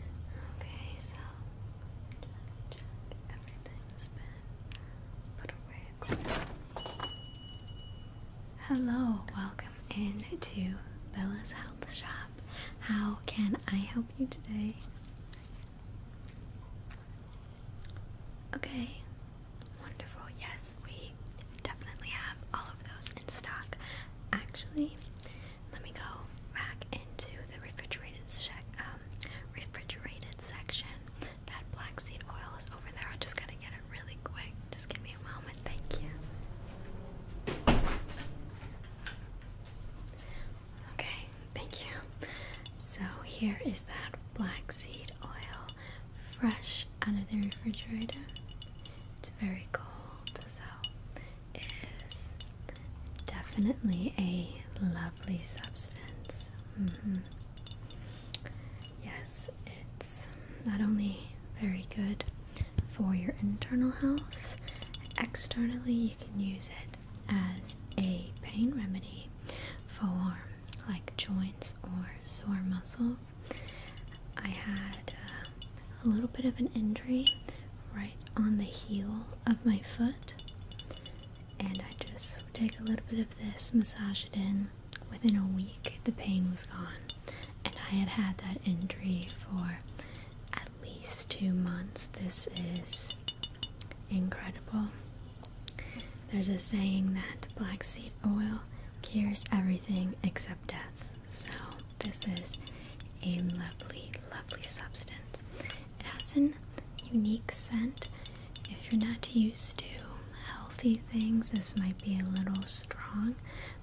Okay, so Hello, welcome in to Bella's Health Shop. How can I help you today? Okay, wonderful. Yes, we definitely have all of those in stock. Actually, let me go back into the um, refrigerated section. That black seed oil is over there. I just gotta get it really quick. Just give me a moment. Thank you. Okay, thank you. So here is that black seed oil, fresh out of the refrigerator. It's very cold, so is definitely a lovely substance. Mm-hmm. Yes, it's not only very good for your internal health, externally, you can use it as a pain remedy for like joints or sore muscles. I had uh, a little bit of an injury right on the heel of my foot. And I just take a little bit of this, massage it in. Within a week, the pain was gone. And I had had that injury for at least two months. This is incredible. There's a saying that black seed oil cures everything except death. So this is a lovely, lovely substance. It has an unique scent. If you're not used to healthy things, this might be a little strong,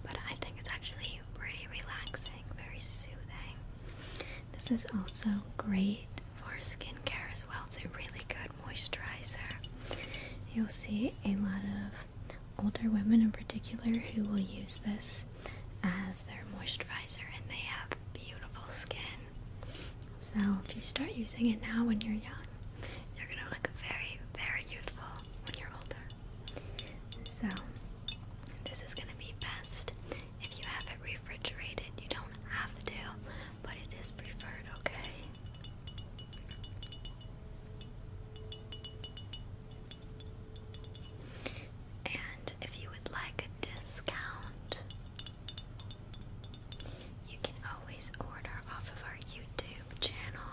but I think it's actually pretty relaxing, very soothing. This is also great for skincare as well. It's a really good moisturizer. You'll see a lot of older women in particular who will use this as their moisturizer and they have beautiful skin. So if you start using it now when you're young, you're gonna look very, very youthful when you're older. So this is gonna be best if you have it refrigerated. You don't have to, but it is preferred, okay? And if you would like a discount, you can always order off of our YouTube channel.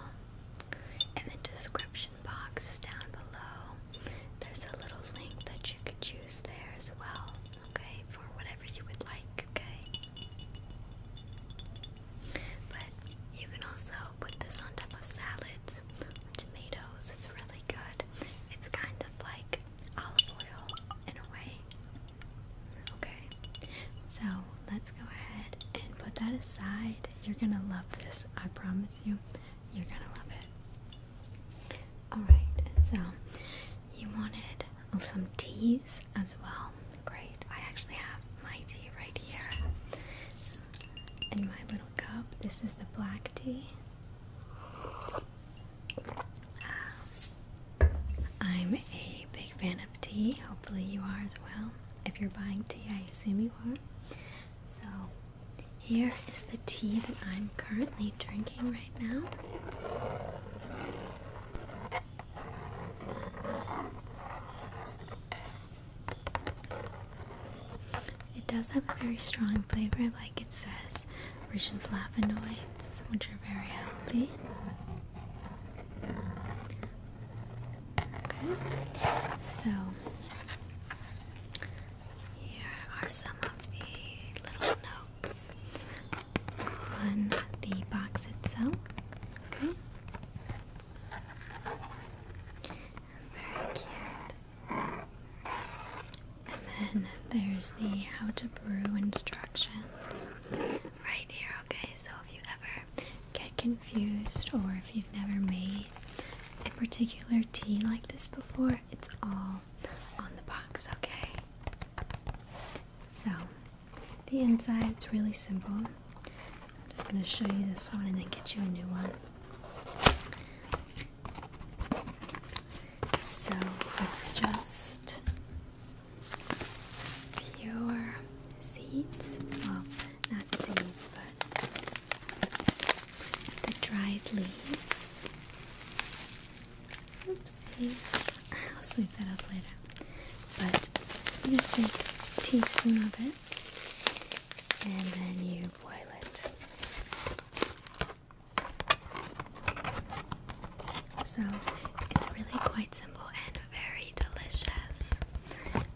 In the description box down below, there's a little link that you could choose there as well, okay, for whatever you would like, okay? But you can also put this on top of salads tomatoes. It's really good. It's kind of like olive oil in a way. Okay, so let's go ahead and put that aside. You're gonna love this, I promise you. You're gonna love it. Alright, so you wanted some teas as well. Great. I actually have my tea right here in my little cup. This is the black tea. I'm a big fan of tea. Hopefully, you are as well. If you're buying tea, I assume you are. So, here is the tea that I'm currently drinking right now. It does have a very strong flavor, like it says, rich in flavonoids, which are very healthy. Okay, so here are some of the little notes on the box itself. Okay, very cute. And then there's the how to brew instructions right here, okay? So if you ever get confused or if you've never made a particular tea like this before, it's all on the box, okay? So the inside it's really simple. I'm just going to show you this one and then get you a new one. So it's just pure seeds. Well, not seeds, but the dried leaves. Oopsie. I'll sweep that up later. But you just take a teaspoon of it and then you boil it. So it's really quite simple and very delicious,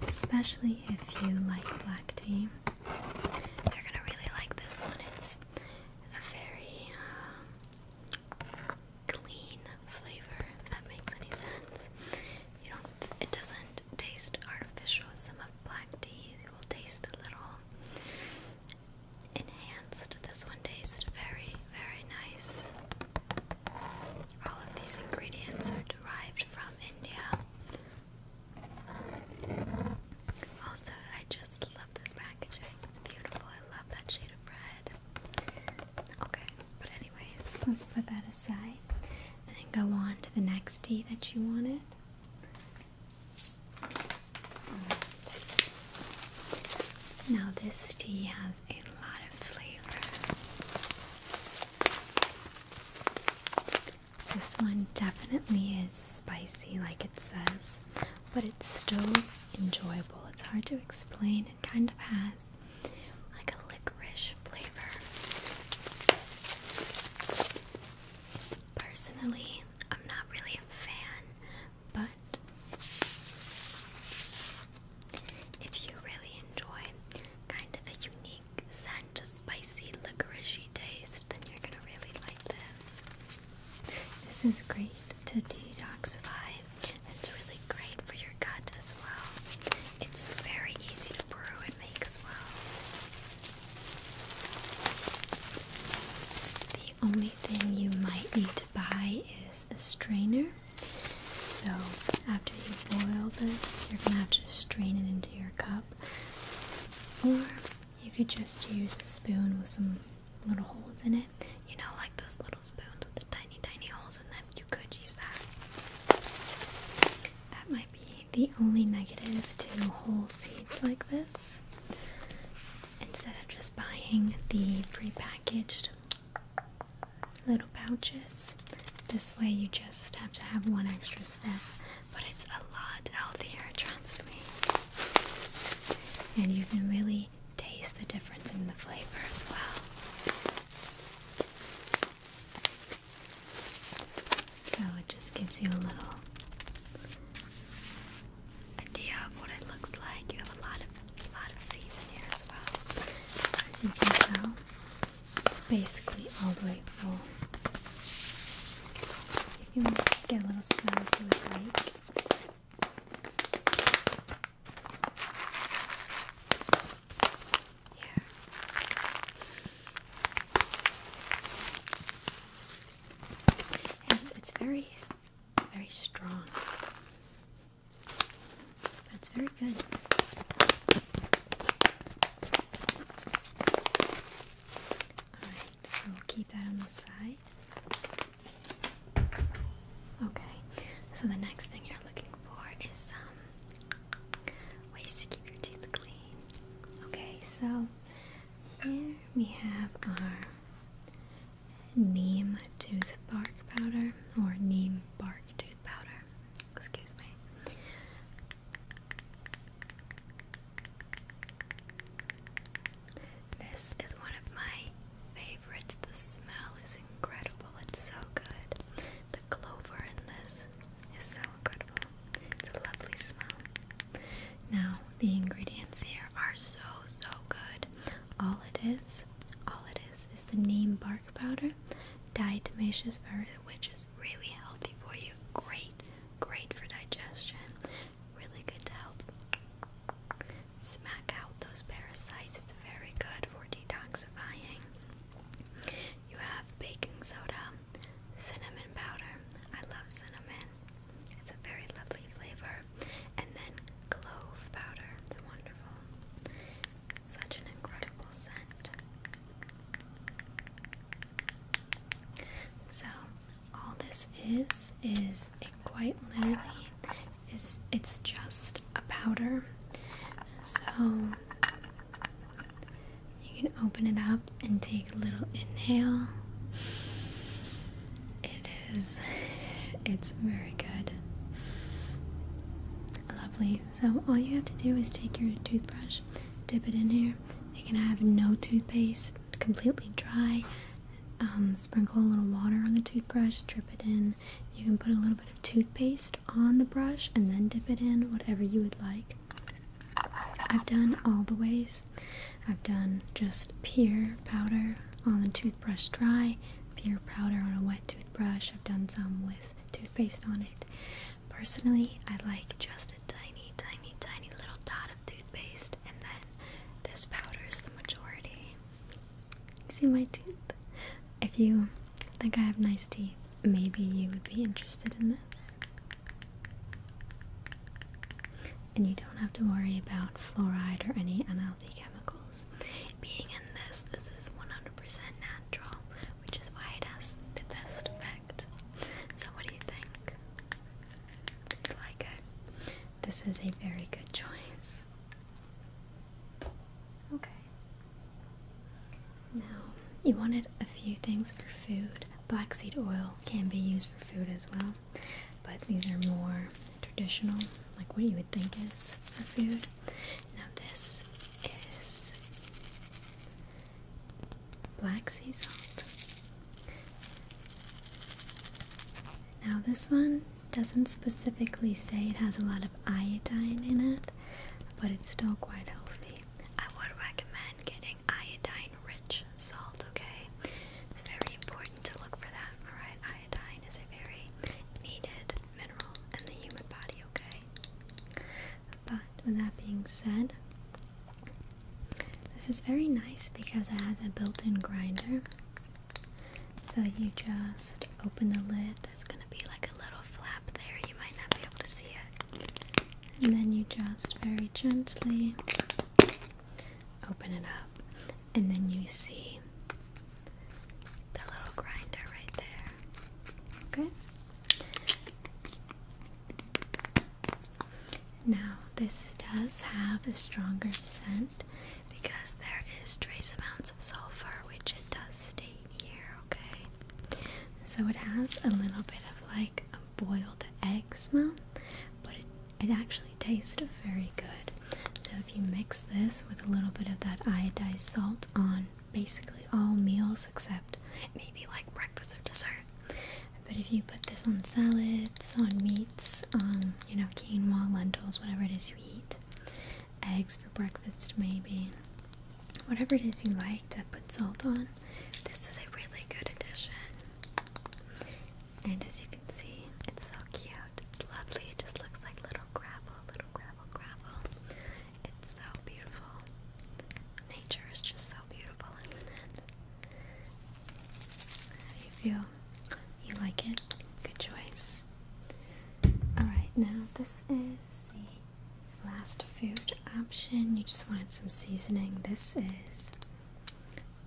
especially if you like black tea. You're gonna really like this one. It's a very um, clean flavor, if that makes any sense. You don't. It doesn't taste artificial. Some of black teas will taste a little enhanced. This one tastes very, very nice. All of these ingredients are derived from India. Also, I just love this packaging. It's beautiful. I love that shade of red. Okay, but anyways, let's put that aside and then go on to the next tea that you wanted. Now this tea has a lot of flavor. This one definitely is spicy like it says, but it's still enjoyable. It's hard to explain. It kind of has like a licorice flavor. Personally, I'm not really fan, but if you really enjoy kind of a unique scent, spicy licorice taste, then you're gonna really like this. This is great to detoxify. It's really great for your gut as well. It's very easy to brew and make as well the only thing you might need to buy is a strainer. So after you boil this, you're gonna have to strain it into your cup. Or you could just use a spoon with some little holes in it. You know, like those little spoons with the tiny, tiny holes in them. You could use that. That might be the only negative to whole seeds like this instead of just buying the prepackaged little pouches. This way you just have to have one extra step, but it's a lot healthier, trust me. And you can really taste the difference in the flavor as well. So it just gives you a little idea of what it looks like. You have a lot of lot of seeds in here as well. As you can tell, it's basically all the way full. You can get a little smell if you like. Here. It's, it's very very strong. That's very good. Alright, I will keep that on the side. Okay, so the next thing you're looking for is some ways to keep your teeth clean. Okay, so here we have our neem tooth bark powder or neem bark tooth powder. Excuse me. This is one of my favorites. The smell is incredible. It's so good. The clover in this is so incredible. It's a lovely smell. Now, the ingredients here are so, so good. All it is, all it is, is the name bark powder, diatomaceous earth, which is really healthy for you. Great, great for digestion. Really good to help smack out those parasites. It's very good for detoxifying. You have baking soda, cinnamon powder. I love cinnamon. It's a very lovely flavor. And then clove powder. It's wonderful. Such an incredible scent. So all this is is it quite literally is it's just a powder. So you can open it up and take a little inhale. It it's very good. Lovely. So, all you have to do is take your toothbrush, dip it in here. You can have no toothpaste, completely dry. Um, sprinkle a little water on the toothbrush, drip it in. You can put a little bit of toothpaste on the brush and then dip it in, whatever you would like. I've done all the ways, I've done just pure powder on the toothbrush dry, pure powder on a wet toothbrush. I've done some with toothpaste on it. Personally, I like just a tiny, tiny, tiny little dot of toothpaste, and then this powder is the majority. See my teeth? If you think I have nice teeth, maybe you would be interested in this. And you don't have to worry about fluoride or any unhealthy chemicals. Being in this, this is 100% natural, which is why it has the best effect. So, what do you think? You like it? This is a very good choice. Okay. Now, you wanted a few things for food. Black seed oil can be used for food as well but these are more traditional, like what you would think is for food. Now, this is black sea salt. Now, this one doesn't specifically say it has a lot of iodine in it, but it's still quite healthy. I would recommend getting iodine rich salt, okay? It's very important to look for that, alright? Iodine is a very needed mineral in the human body, okay? But with that being said, this is very nice because it has a built in grinder. So you just open the lid, there's gonna be like a little flap there, you might not be able to see it. And then you just very gently open it up and then you see the little grinder right there. Okay. Now, this does have a stronger scent because there is trace amounts of sulfur, which it does stay here, okay? So it has a little bit of like a boiled egg smell, but it it actually tastes very good. So if you mix this with a little bit of that iodized salt on basically all meals except maybe like breakfast or dessert. But if you put this on salads, on meats, on you know quinoa, lentils, whatever it is you eat, eggs for breakfast maybe, whatever it is you like to put salt on, this is a really good addition. And as you can see, it's so cute. It's lovely. It just looks like little gravel, little gravel, gravel. It's so beautiful. Nature is just so beautiful, isn't it? How do you feel? You like it? Good choice. Alright, now this is the last food option. You just wanted some seasoning. This is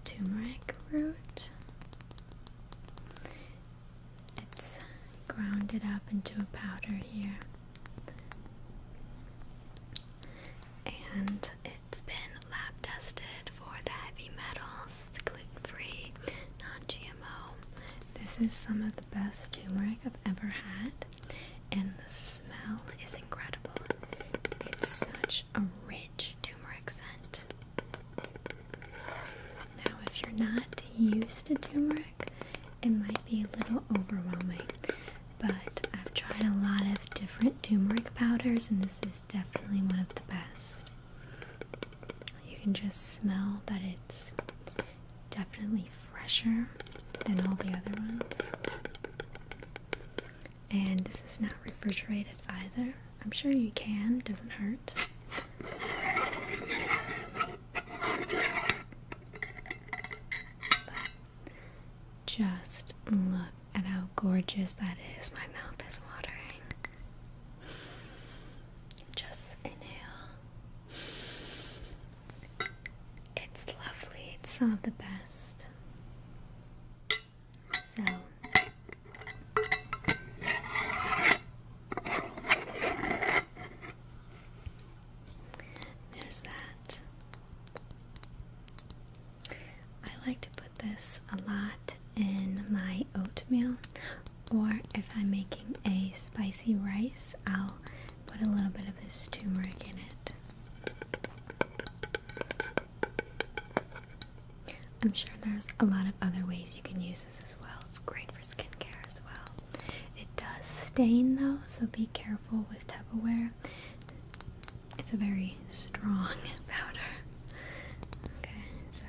turmeric root. It's ground it up into a powder here. And it's been lab tested for the heavy metals, the gluten free, non GMO. This is some of the best turmeric I've ever had, and the smell is incredible. It's such a rich turmeric scent. Now, if you're not used to turmeric, it might be a little overwhelming, but I've tried a lot of different turmeric powders, and this is definitely one of the best. You can just smell but it's definitely fresher than all the other ones. And this is not refrigerated either, I'm sure you can, doesn't hurt. just look at how gorgeous that is. My mouth is watering. Just inhale. It's lovely. It's some of the best. So there's that. I like to put this a lot in my oatmeal, or if I'm making a spicy rice, I'll put a little bit of this turmeric in it. I'm sure there's a lot of other ways you can use this as well. It's great for skincare as well. It does stain though, so be careful with Tupperware. It's a very strong powder. Okay, so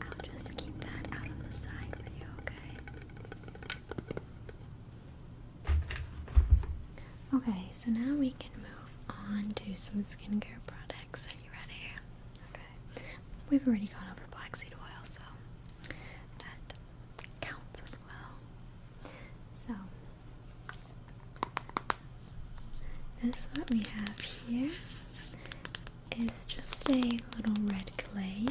I'll just keep that out of the side for you, okay? Okay, so now we can move on to some skincare products you ready? Okay. We've already gone over black seed oil, so that counts as well. So, this what we have here is just a little red clay.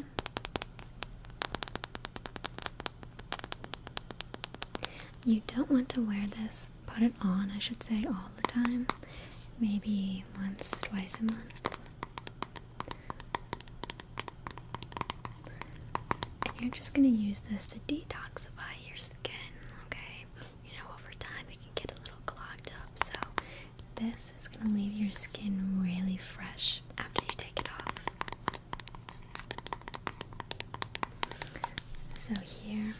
You don't want to wear this put it on, I should say, all the time. Maybe once, twice a month. And you're just gonna use this to detoxify your skin, okay? You know, over time it can get a little clogged up, so this is gonna leave your skin really fresh after you take it off. So, here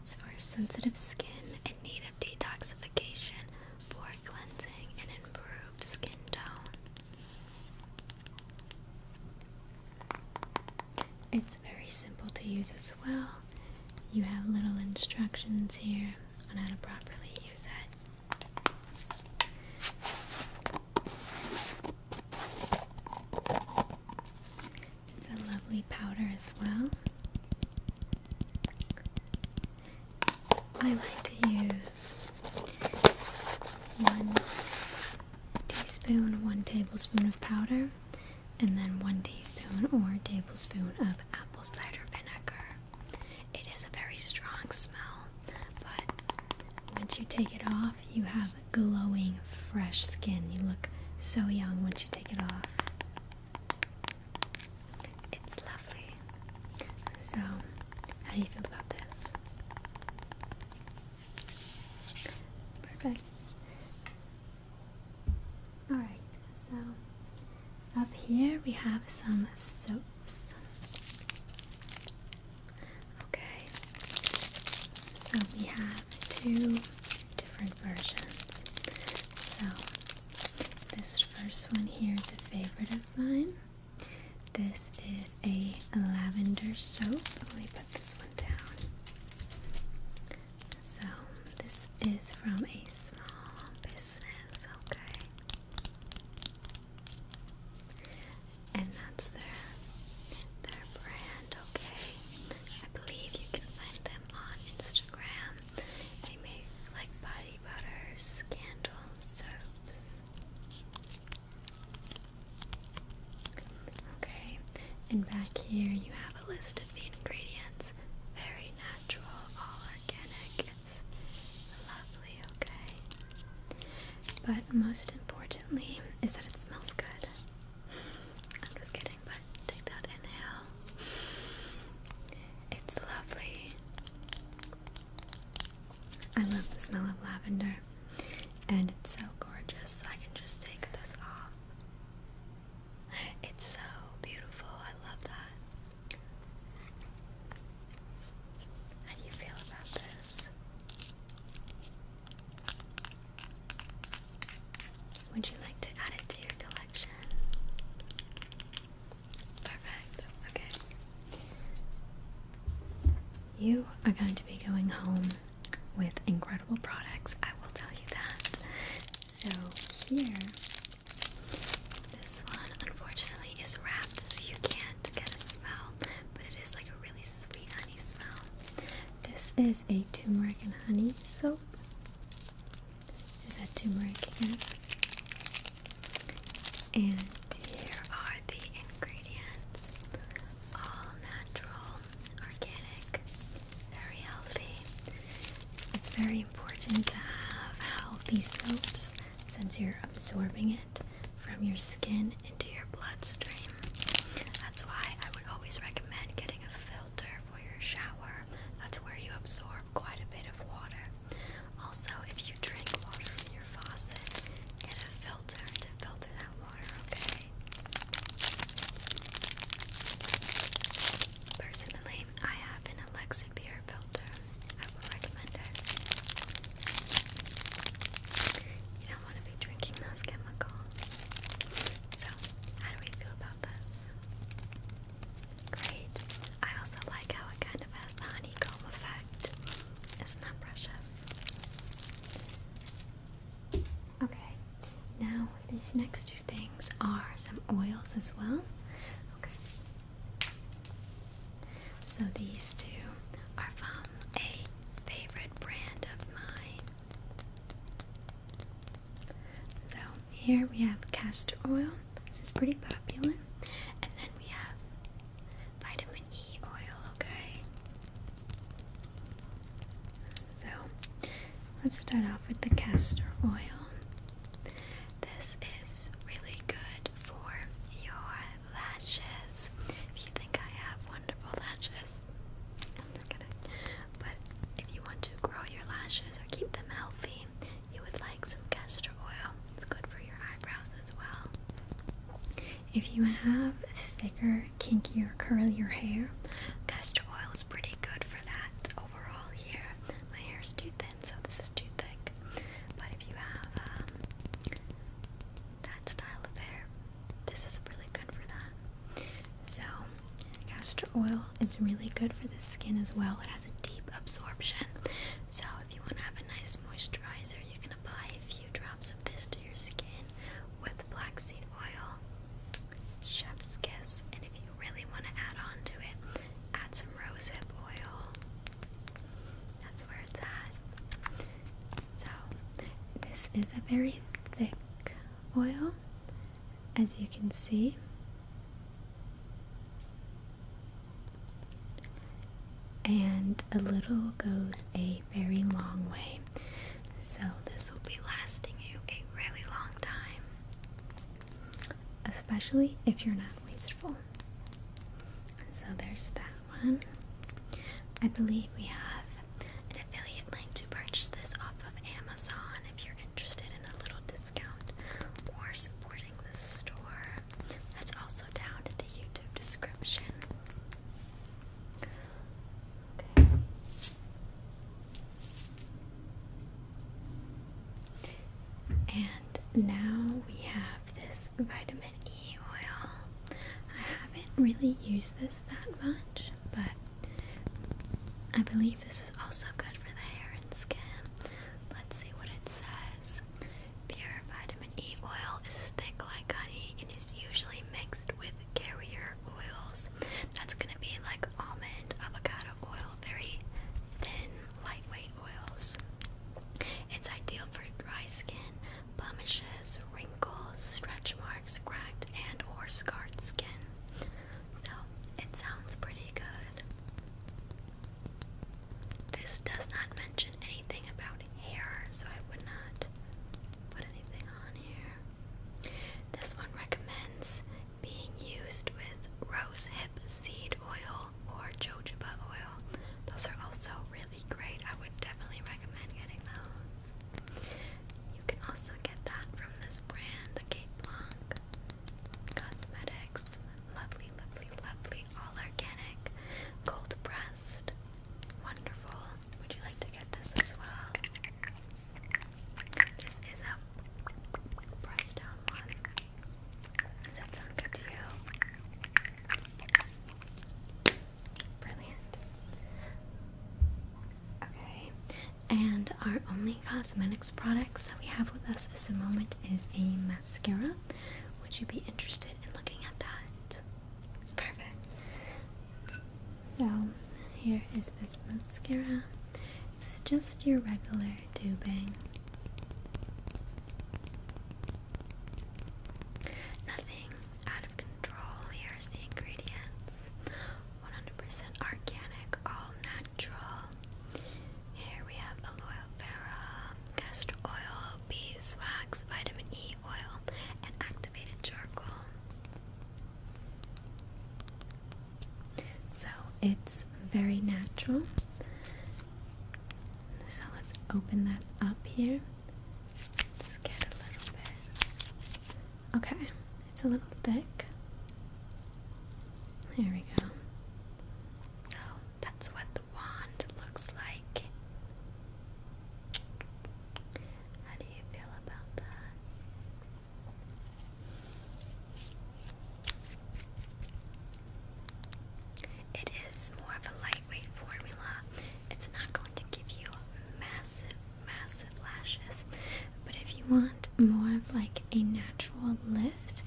it's for sensitive skin in need of detoxification, pore cleansing, and improved skin tone. It's very simple to use as well. You have little instructions here on how to properly use it. It's a lovely powder as well. I like to use one teaspoon, one tablespoon of powder, and then one teaspoon or tablespoon of apple cider vinegar. It is a very strong smell, but once you take it off, you have glowing, fresh skin. You look so young once you take it off. It's lovely. So, how do you feel about this? Perfect. Alright, so up here we have some soaps. Okay, so we have two different versions. So, this first one here is a favorite of mine. This is a lavender soap. Let me put this one down. So, this is from a small business, okay? And that's their their brand, okay? I believe you can find them on Instagram. They make like body butters, candles, soaps. Okay, and back here you have a list of the ingredients. Very natural, all organic. It's lovely, okay? But most importantly is that it smells good. I'm just kidding but take that inhale. It's lovely. I love the smell of lavender, and it's so gorgeous. I can just take this off. It's so beautiful. I love that. How do you feel about this? Would you like to add it to your collection? Perfect. Okay. You are going to be going home with incredible products, I will tell you that. So, here, this one unfortunately is wrapped so you can't get a smell, but it is like a really sweet honey smell. This is a turmeric and honey soap. There's that turmeric again. And here are the ingredients. All natural, organic, very healthy. It's very important to have healthy soaps since you're absorbing it from your skin into your bloodstream. That's why I would always recommend getting a filter for your shower. That's where you absorb quite a bit of water. Also, if you drink water from your faucet, get a filter to filter that water, okay? Personally, I have an Alexa Beer filter. I would recommend it. You don't want to be drinking those chemicals. So, how do we feel about this? Great. I also like how it kind of has the honeycomb effect. Isn't that precious? Okay. Now these next two things are some oils as well. Okay. So these two are from a favorite brand of mine. So here we have castor oil. This is pretty popular. And then we have vitamin E oil, okay? So let's start off with the castor oil. This is really good for your lashes. If you think I have wonderful lashes, I'm just kidding. But if you want to grow your lashes or keep them healthy, you would like some castor oil. It's good for your eyebrows as well. If you have thicker, kinkier, curlier hair, castor oil is pretty good for that overall here. My hair is too thin, so this is too thick. But if you have um, that style of hair, this is really good for that. So Castor oil is really good for the skin as well. It has a deep absorption. So if you want to have a nice moisturizer, you can apply a few drops of this to your skin with blackseed oil. Chef's kiss. And if you really want to add on to it, add some rosehip oil. That's where it's at. So this is a very thick oil as you can see. And a little goes a very long way. So, this will be lasting you a really long time, especially if you're not wasteful. So, there's that one. I believe we have an affiliate link to purchase this off of Amazon if you're interested in a little discount or supporting the store. That's also down in the YouTube description. Okay. And now we have this vitamin E oil. I haven't really used this that much, but I believe this is also good for the hair and skin. Let's see what it says. Pure vitamin E oil is thick like honey and is usually mixed with carrier oils. That's gonna be like almond, avocado oil, very thin, lightweight oils. It's ideal for dry skin, blemishes, wrinkles, stretch marks, cracked and or scarred skin. So it sounds pretty good. This does not mention anything about hair, so I would not put anything on here. This one recommends being used with rose hip seed oil or jojoba oil. Those are also really great. I would definitely recommend getting those. You can also get that from this brand, the Cape Blanc. Cosmetics. Lovely, lovely, lovely. All organic. Cold pressed. Wonderful. Would you like to get this as well? This is a press down one. Does that sound good to you? Brilliant. Okay. And our only cosmetics products that we have with us at the moment is a mascara. Would you be interested in looking at that? Perfect. So here is this mascara. It's just your regular dubbing. Nothing out of control. Here's the ingredients 100% organic, all natural. Here we have aloe vera, castor oil, beeswax, vitamin E oil, and activated charcoal. So it's very natural. So let's open that up here. let get a little bit. Okay, it's a little thick. There we go. So that's what the wand looks like. How do you feel about that? It is more of a lightweight formula. It's not going to give you massive, massive lashes, but if you want more of like a natural lift,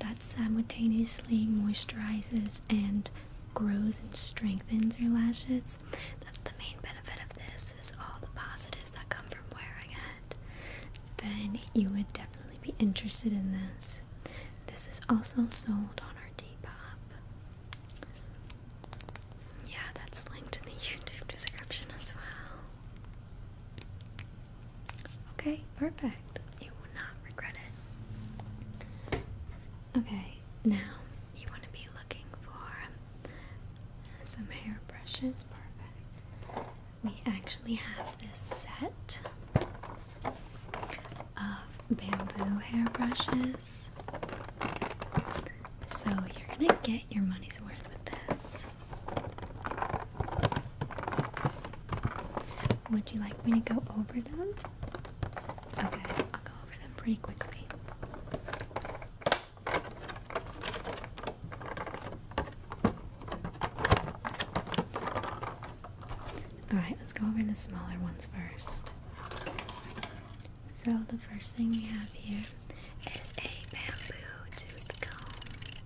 that simultaneously moisturizes and grows and strengthens your lashes. That's the main benefit of this is all the positives that come from wearing it. Then you would definitely be interested in this. This is also sold on our Depop. Yeah, that's linked in the YouTube description as well. Okay, perfect. You will not regret it. Okay, now you want to be looking for some hair brushes. Perfect. We actually have this set of bamboo hair brushes. So you're going to get your money's worth with this. Would you like me to go over them? Okay, I'll go over them pretty quickly. Alright, let's go over the smaller ones first. So, the first thing we have here is a bamboo tooth comb.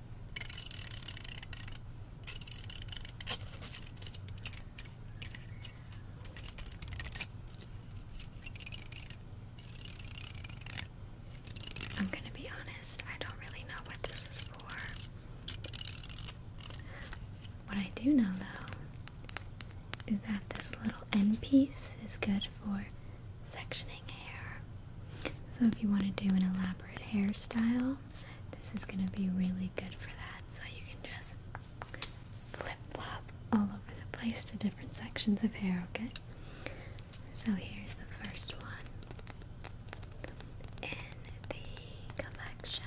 I'm gonna be honest, I don't really know what this is for. What I do know though is that this little end piece is good for sectioning hair. So if you want to do an elaborate hairstyle, this is going to be really good for that. So you can just flip flop all over the place to different sections of hair, okay? So here's the first one in the collection.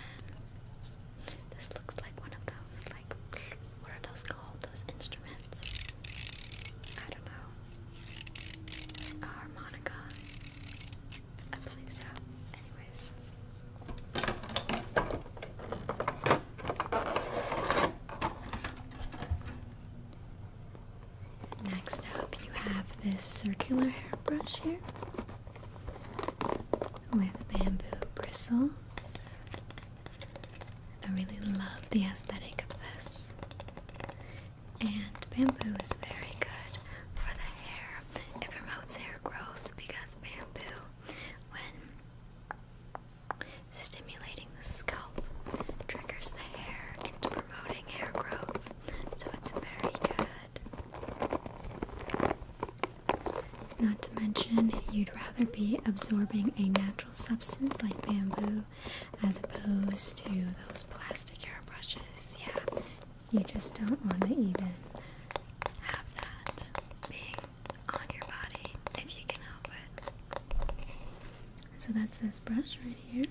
This looks like one of those, like, what are those called? Those instruments? I don't know. A harmonica. Next up, you have this circular hairbrush here with bamboo bristles. I really love the aesthetic of this. And bamboo is very good for the hair. It promotes hair growth because bamboo, when stimulating the scalp, triggers the hair into promoting hair growth. So it's very good. Not to mention, you'd rather be absorbing a natural substance like bamboo as opposed to those plastic hairbrushes. Yeah, you just don't want to even have that being on your body if you can help it. So that's this brush right here.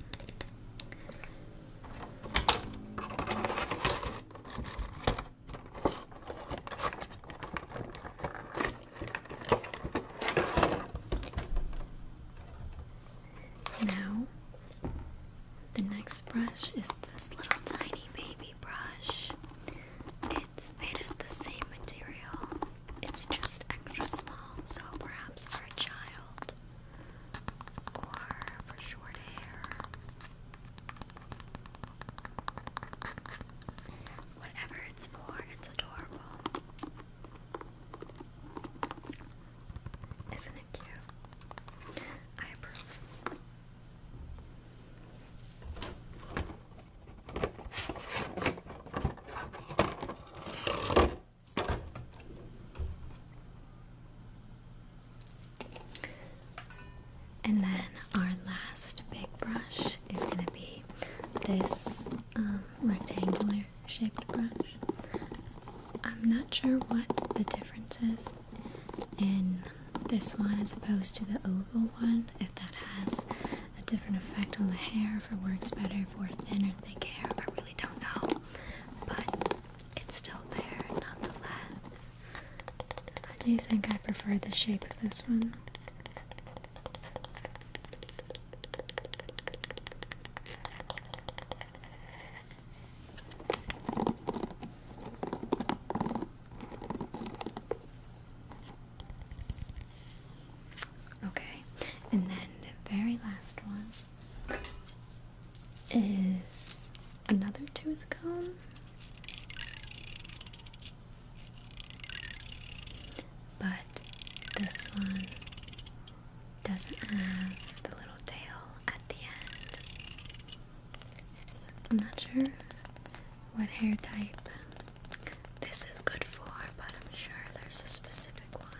Now, the next brush is this little tiny baby brush. It's made of the same material, it's just extra small, so perhaps for a child or for short hair. Whatever it's for, it's adorable. Isn't it cute? I approve. And then our last big brush is going to be this um, rectangular shaped brush. I'm not sure what the difference is in this one as opposed to the oval one, if that has a different effect on the hair, if it works better for thinner thick hair. I really don't know. But it's still there nonetheless. I do think I prefer the shape of this one. Okay, and then the very last one is another tooth But this one doesn't have the little tail at the end. I'm not sure what hair type this is good for, but I'm sure there's a specific one.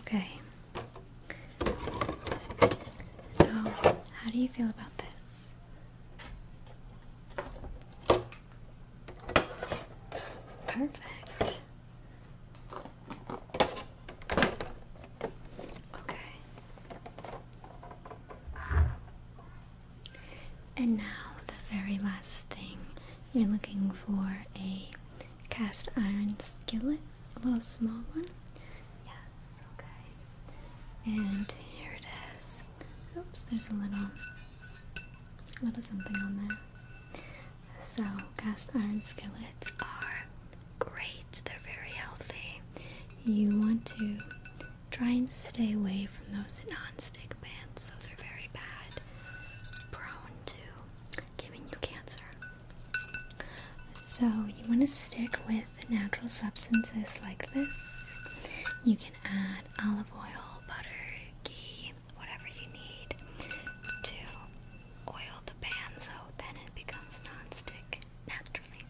Okay. So, how do you feel about this? Perfect. Okay. And now, the very last thing you're looking for a cast iron skillet, a little small one. Yeah, okay. And here it is. Oops, there's a little, little something on there. So cast iron skillets are great. They're very healthy. You want to try and stay away from those non-stick pans. Those are very bad, prone to giving you cancer. So you want to stick with the natural substances like this. You can add olive oil, butter, ghee, whatever you need to oil the pan so then it becomes non-stick naturally.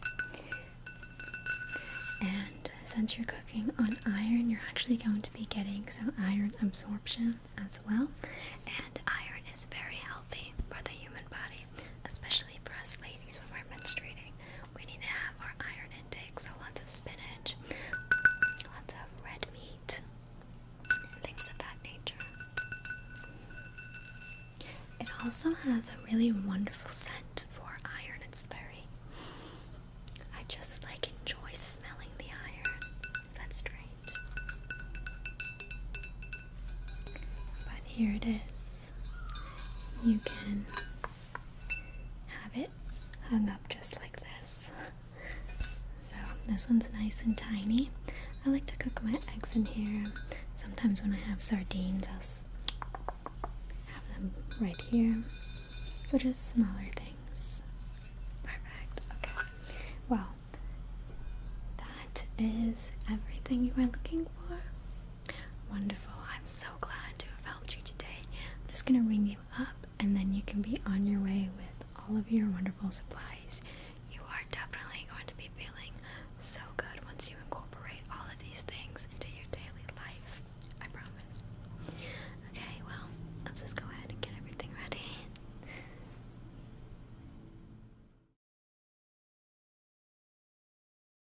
And since you're cooking on iron, you're actually going to be getting some iron absorption as well. And iron is very healthy for the human body especially for us ladies when we're menstruating. We need to have our iron intake, so lots of spinach, lots of red meat, things of that nature. It also has a really wonderful scent for iron. It's very. I just like enjoy smelling the iron. That's strange. But here it is. You can have it hung up just like this. So this one's nice and tiny. I like to cook my eggs in here. Sometimes when I have sardines, I'll have them right here. So just smaller things. Perfect. Okay. Well, that is everything you were looking for. Wonderful. I'm so glad to have helped you today. I'm just going to ring you up and then you can be on your way with all of your wonderful supplies. You are definitely going to be feeling so good once you incorporate all of these things into your daily life. I promise. Okay, well, let's just go ahead and get everything ready.